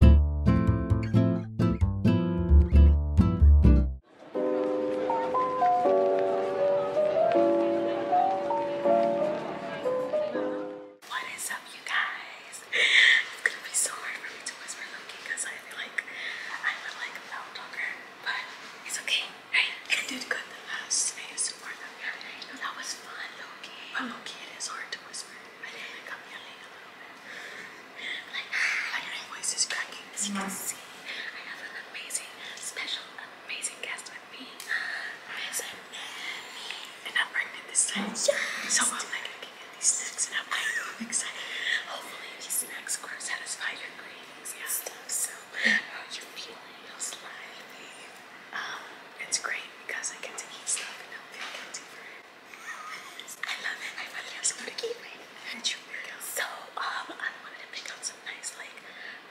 What is up, you guys? It's gonna be so hard for me to whisper Loki because I feel like I'm a like loud talker, but it's okay. Hey, I did good the last ASMR that we had. That was fun, Loki. But Loki, it is hard to whisper. My leg, I got me a leg a my voice is cracking. As you can see, I have an amazing, special, amazing guest with me. Miss And I'm pregnant this time. So I'm like looking at these snacks and I'm like I'm excited. Hopefully these snacks will satisfy your cravings. Yeah. Stuff. So are you feeling? How's life? Um, it's great because I get to eat stuff and I'm feeling guilty for it. I love it. I thought it was super cute. So, um, I wanted to pick out some nice, like,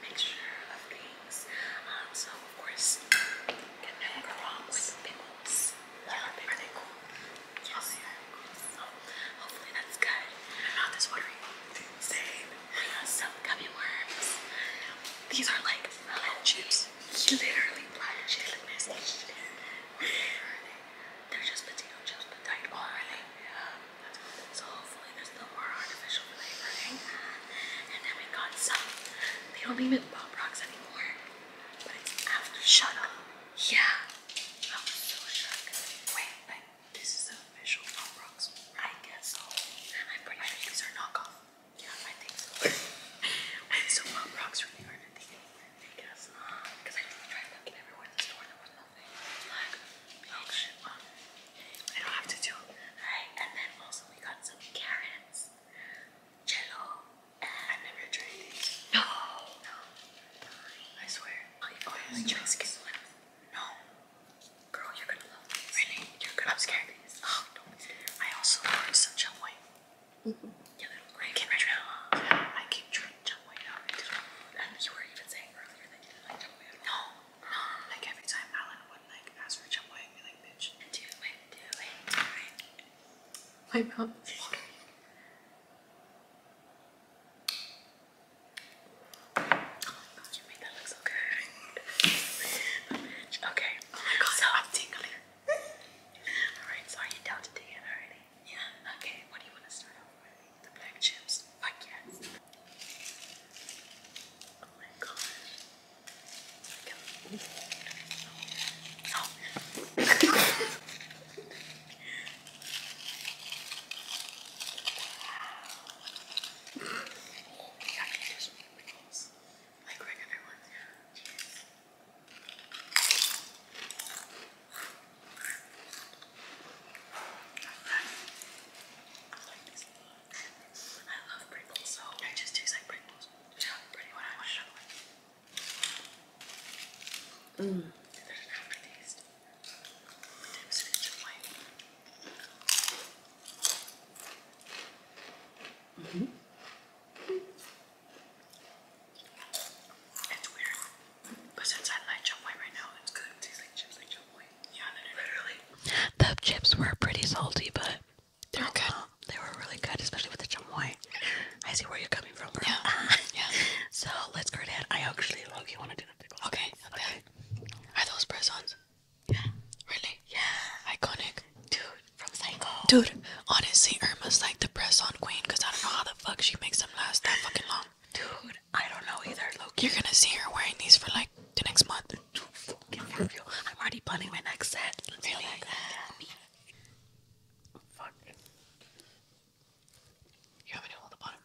mixture of things. Um, so, of course, get them with pickles. Yeah, pickles. Are they cool? Yes. Okay. So, hopefully that's good. They're not this water. Same. I some gummy worms. These are like black chips. Literally black chips. They're just potato chips, but dyed. Oh, really? Yeah. So hopefully there's no more artificial flavoring. And then we got some. They don't name it Pop Rocks anymore, but it's after. Shut up. Yeah. I was so shook. Wait, but this is the official Pop Rocks. I guess so. I'm pretty sure these are knockoff. Yeah, I think so. and so Pop Rocks really are the thing. Um, I guess Because I just tried looking everywhere in the store and there was nothing. Like, oh shit, well, I don't have to do it. Alright, and then also we got some carrots, jello, and I never tried these. No! No. I swear. Oh, you always try skin No. Girl, you're gonna love Really? You're going I'm scared. Oh, don't be scared. I also ordered some chum white. Mm -hmm. Yeah, they don't rank it right now. I keep trying to jump way down. And you were even saying earlier that you didn't like jump way at all. No, no. Like every time Alan would like ask for jump way, I'd be like, bitch. Do it, do it, do it. My mouth is watering. Oh my gosh, you made that look so good. okay. Oh my god, so I'm tingling. Alright, so are you down to dig already? Yeah. Okay, what do you want to start off with? The black chips? Fuck yes. Oh my god. Okay. Oh. wow. We got conditioning pickles. Like regular ones, yeah. Yes. I like this a lot. I love Pringles, so I just taste like Pringles. Which is pretty when I want another one. Mmm. There's an aftertaste. Dips in each white. Mm-hmm. Mm -hmm. It's weird. But since I like chop right now, it's good. It tastes like chips like chop Yeah, literally. The chips were pretty salty, but they were good. They were really good, especially with the chop I see where you're coming from, Yeah. yeah. So let's go ahead. I actually love you want to do the pickles. Okay. Okay. Are those press Yeah. Really? Yeah. Iconic. Dude, Dude, honestly, Irma's like the press-on queen because I don't know how the fuck she makes them last that fucking long. Dude, I don't know either. Look, you're gonna see her wearing these for like the next month. I'm already planning my next set. really? You want me to the bottom?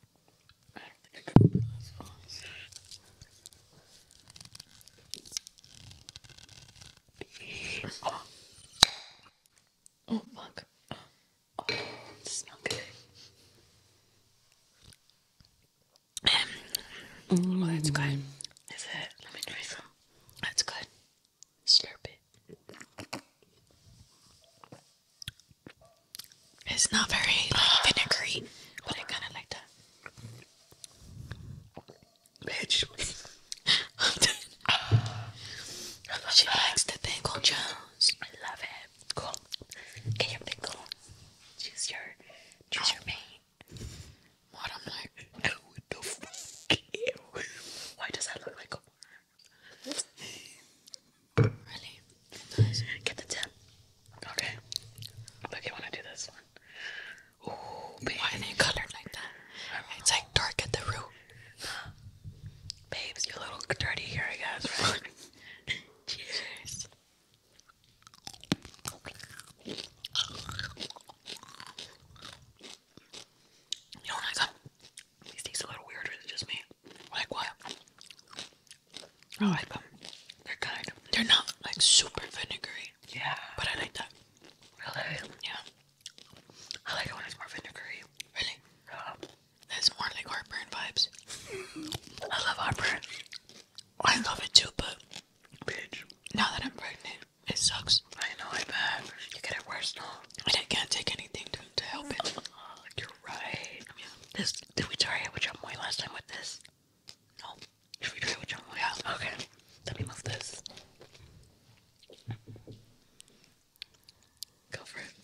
Oh fuck. Oh, it smells good. Mm-hmm. Oh, that's good. Is it? Let me try some. That's good. Slurp it. It's not very vinegary, but I kind of like that. Bitch she that. likes the pickle Jones. I love it. Cool. Get your pickle. Choose your, choose your mate. What i Why does that look like a worm? Really? Get the tip. Okay. Look, you want to do this one? Why are they colored like that? It's like dark at the root. Babes, you're a little dirty here, I guess, right? Cheers. You know what I got? These taste a little weird, or just me? Like what? I hmm. like them. They're good. They're not like super vinegary. Yeah. But I like that. Really? Yeah. I like it when it's more vinegary. Really? That's more like heartburn vibes. I love heartburn. I love it too, but bitch. Now that I'm pregnant, it sucks. I know, I bad. You get it worse now. I can't take anything to, help it. Oh, you're right. I mean, this did we try it with chamoy last time with this? No. Should we try it with chamoy? Yeah. Okay. Let me move this. Go for it.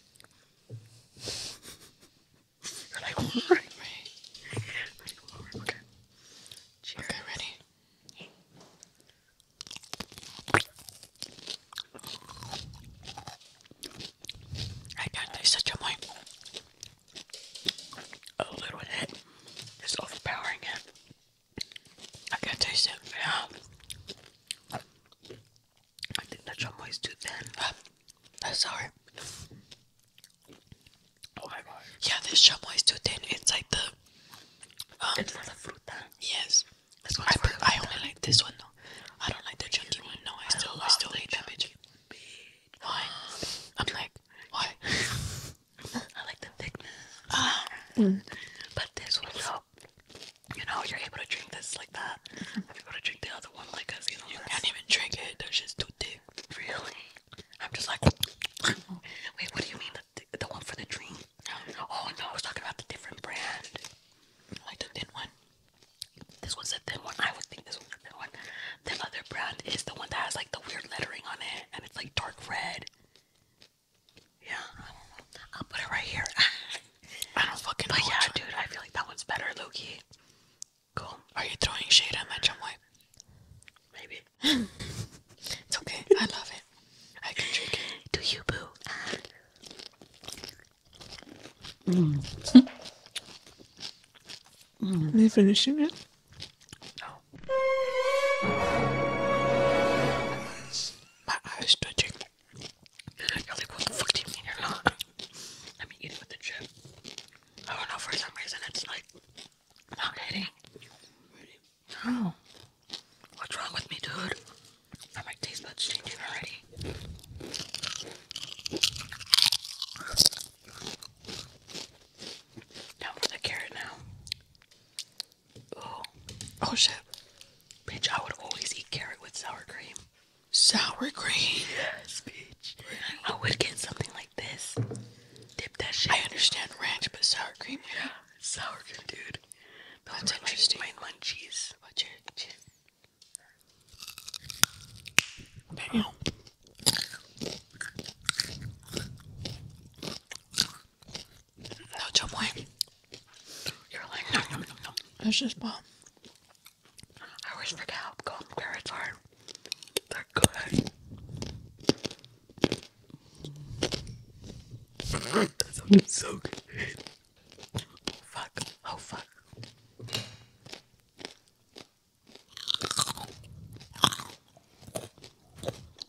You're like, warring me. okay. Cheers. Okay, ready? I got this such a point. A little hit is overpowering it. I can taste it. Yeah. I think the chumbo is too thin. Ah, that's sorry. Oh Yeah, this chumbo is too thin. It's like the. Um, it's for the fruta. Yes. I, only like this one though. I don't like the chunky one. No, I still, I, still hate that bitch. Why? I'm like, why? I like the thickness. Uh, But this one, no you know, you're able to drink this like that. I'm able to drink the other one like us. You know, you can't even drink it. That just too thick. Really? I'm just like, mm-hmm. wait, what do you mean the the one for the dream? Oh no, I was talking about the different brand, like the thin one. This one's a thin one. I would think this one's a thin one. The other brand is the one that has like the weird lettering on it, and it's like dark red. Yeah, I do will put it right here. I don't fucking but know. yeah, dude, I feel like that one's better, Loki. Cool. Are you throwing shade at my chum wipe? Maybe. it's okay. I love it. I can drink it. Do you, boo? Mm. Mm. Are they finishing it? No. My eyes twitching. You're like, what the fuck do you mean you're not? Let me eat it with the chip. I don't know, for some reason it's like not hitting. No. Oh. What's wrong with me, dude? My taste buds changing already. Down the carrot now. Ooh. Oh shit. Bitch, I would always eat carrot with sour cream. Sour cream? Yes, bitch. I would get something like this. Dip that shit. I understand ranch, but sour cream? Yeah. Sour cream, dude. That's interesting. My, my munchies. What's your... Damn. No, a way. You're like, no, no, no, no. That's just bomb. I always forget how cold carrots are. they good. that sounded so good. Fuck. Oh, fuck.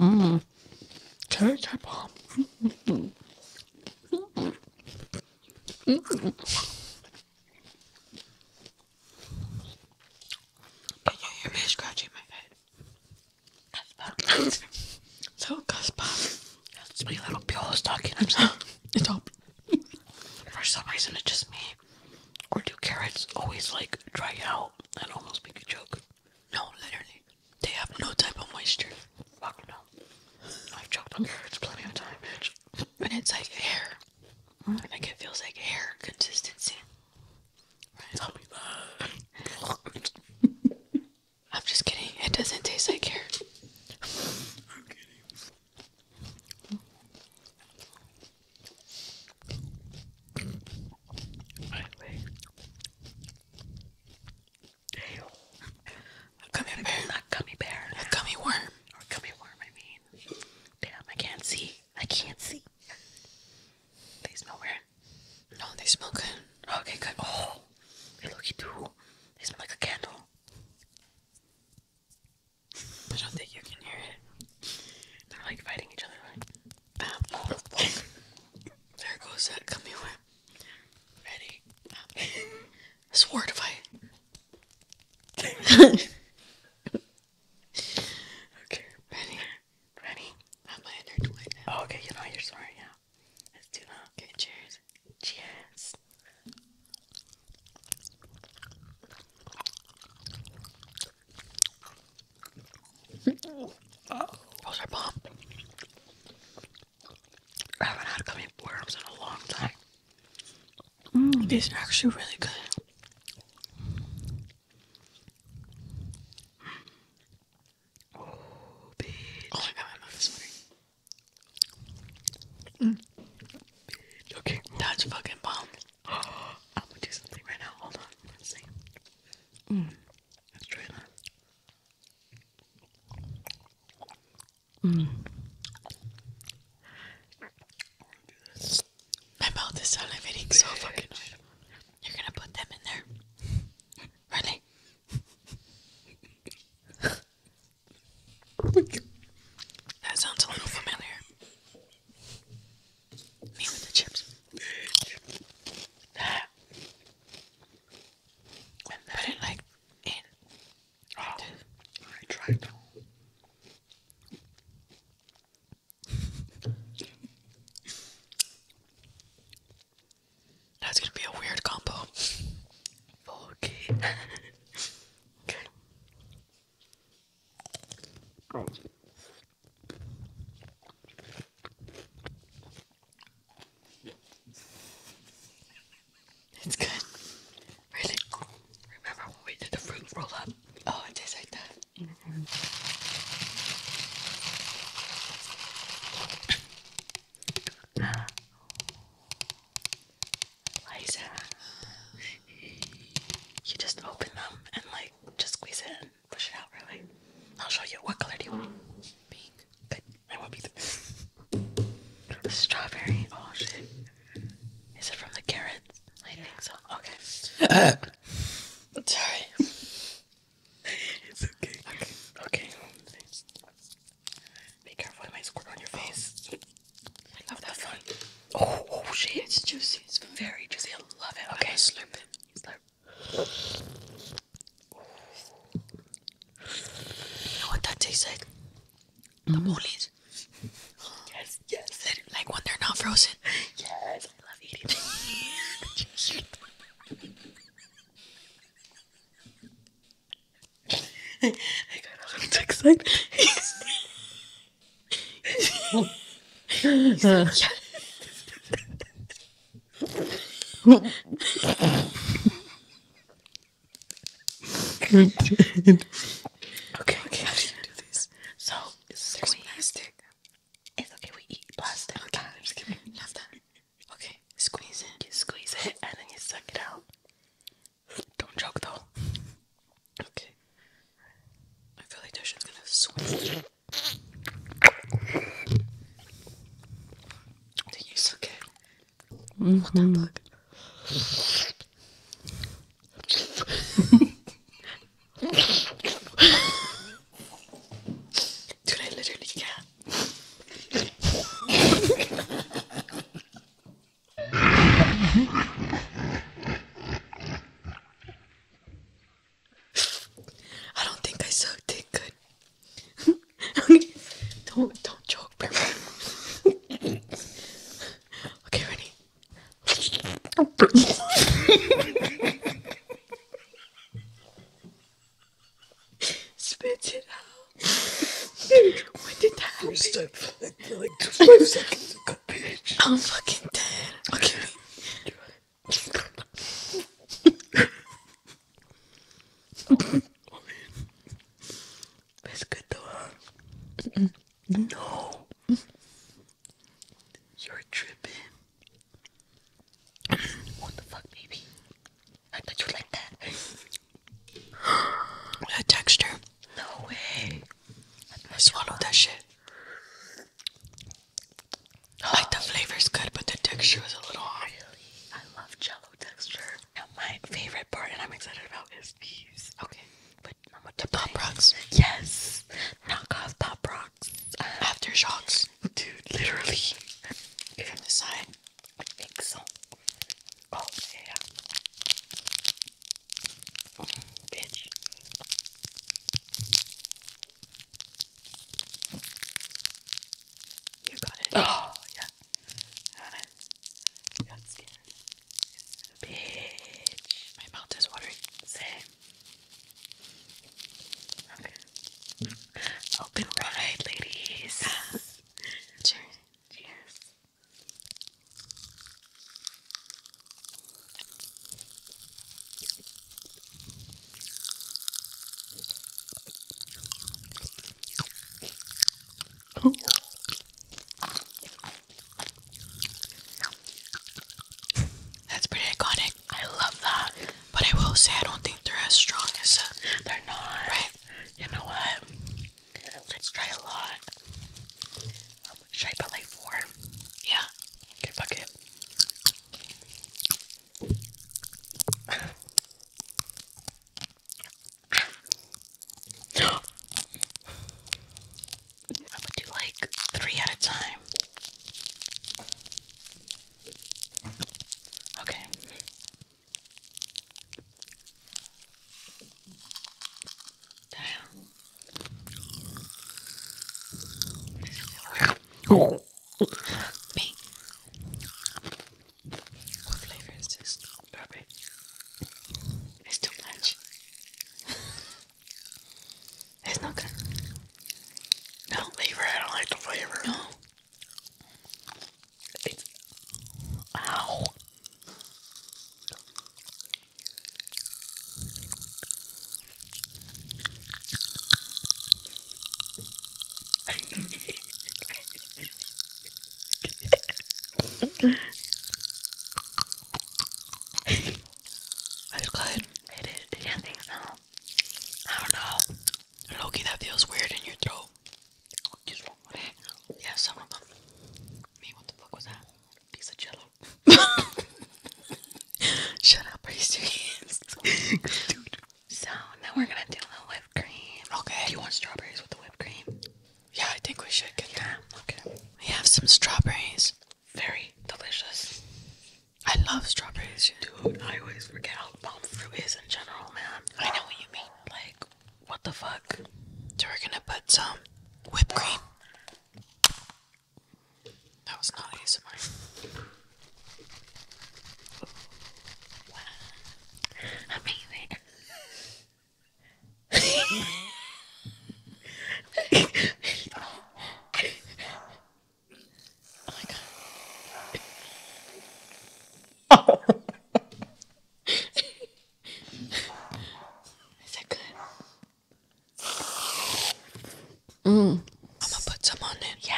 Mmm cherry type bomb. Can you hear me scratching my head? That's so Cuspa, that's my little Buell's talking. I'm so, it's all. For some reason, it's just me. Or do carrots always like dry out and almost make a joke? No, literally. They have no type of moisture. Fuck no. I've choked on hair. It's plenty of time, bitch. And it's like hair. Like it feels like hair consistency. I'm just kidding. It doesn't taste like hair. I'm kidding. A gummy bear. Not gummy bear. A gummy worm. Or gummy worm, I mean. Damn, I can't see. I can't see. They smell weird. No, they smell good. Okay, good. Oh, they look you too. They smell like a candle. I don't think you can hear it. They're like fighting each other. Right? Um, oh, there goes that gummy worm. Ready? Up. Sword fight. Okay, ready? Ready? I have my oh, okay, you know you're sorry now. Let's do that. Okay, cheers. Cheers. Those are bomb. I haven't had gummy worms in a long time. Mm, these are actually really good. Oh, my god, my mouth is sweating. Mm. Okay, that's fucking bomb. I'm gonna do something right now. Hold on, let's see. Mm. Let's try that. Mm. My mouth is salivating so fucking hard. You're gonna put them in there. Really? That sounds a little familiar. Me with the chips. But it like in. Oh, I tried That's gonna be a weird combo. Okay. It's good. Really? Remember when we did the fruit roll up? Oh, it tastes mm-hmm. like that. you just open them and like just squeeze it and push it out, really. I'll show you. What color do you want? Pink. strawberry. Oh shit. Is it from the carrots? I think so. Okay. Uh, sorry. it's okay. Okay. Okay. Be careful, I might squirt on your face. Oh. I love that one. Oh, oh, shit. It's juicy. It's very juicy. I love it. Okay, slurp it. Slurp. You know what that tastes like? The Mm. Yes, yes. Like when they're not frozen. Yes, I love eating I got a excited. yes. we did. Okay, okay, how do you do this? So, there's plastic. It's okay, we eat plastic. Okay, I'm just kidding. Love that. Okay, squeeze it, squeeze it, and then you suck it out. Don't choke though. Okay. I feel like that shit's gonna swim. Did you suck it? mm I literally can I don't think I sucked it good okay. Don't don't joke, Okay, ready. Spit it out. when did that happen? Like, like five seconds ago, bitch. I'm fucking dead. Okay. That's good though, No. You're tripping. what the fuck, baby? I thought you like that. that texture. No way. I swallowed that shit. Like the flavor's good, but the texture is a little off. Really? I love jello texture. Now my favorite part, and I'm excited about, is these. Okay, but number two, Pop Rocks. Yes, knockoff Pop Rocks. Uh, Aftershocks, dude. Literally. From the side. I think so. Oh yeah. bitch. You got it. Oh yeah. I got scared. Bitch. My mouth is watering. Same. Okay. Open wide, ladies. Cheers. Cheers. That's pretty iconic. I love that. But I will say I don't think they're as strong as uh, they're not. Right? You know what? Let's try a lot. should I put four? Yeah. fuck it. I would do like three at a time. Okay. Damn. Me. What flavor is this? Strawberry. It's too much. it's not good. No flavor. I don't like the flavor. No. It's. That's good. It is. Did you think so? I don't know. Loki, that feels weird in your throat. Just wrong with it. Yeah, some of them. Me, what the fuck was that? Piece of jello. Shut up, are you serious? Dude, so now we're gonna do the whipped cream. Okay. Do you want strawberries with the whipped cream? Yeah, I think we should get that. Okay. We have some strawberries. Very delicious. I love strawberries. Dude, I always forget how bomb fruit is in general, man. I know what you mean. Like, what the fuck? So we're gonna put some whipped cream. That was not ASMR. Wow. Amazing oh Is that good? Mm. I'm gonna put some on it. Yeah.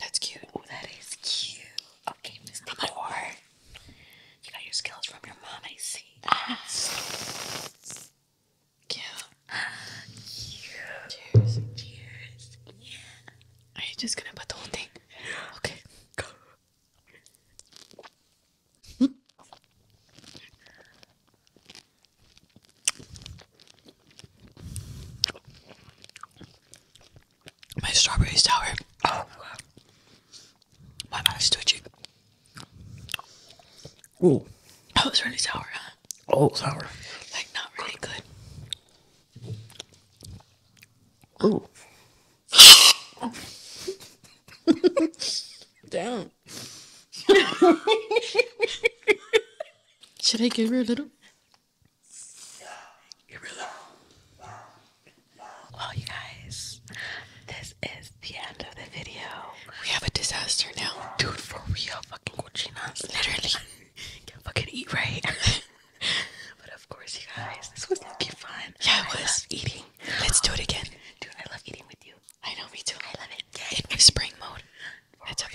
That's cute. Oh, that is cute. Okay, Miss Decor. You got your skills from your mom, I see. Cute. cute. Cheers. Cheers. Yeah. Are you just gonna put the whole thing? Okay. Go. Hmm? My strawberry sour. Oh my god. mouth is twitchy. Ooh. That was really sour, huh? Oh, sour. Like not really good. Ooh. Oh. Damn. Should I give her a little? Well, you guys, this is the end of the video. We have a disaster now, dude. For real, fucking cochinas, literally can't fucking eat right. but of course, you guys, this was looking fun. Yeah, it was eating. Let's do it again, dude. I love eating with you. I know, me too. I love it. Yeah, in spring mode. It's a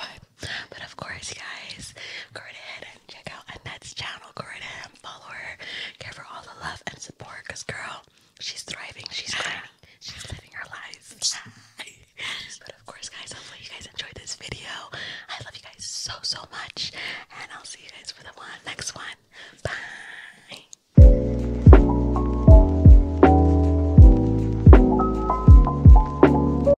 But of course, guys, go ahead and check out Annette's channel. Go ahead and follow her. Give her all the love and support because, girl, she's thriving. She's thriving. She's living her life. but of course, guys, hopefully you guys enjoyed this video. I love you guys so, so much. And I'll see you guys for the next one. Bye.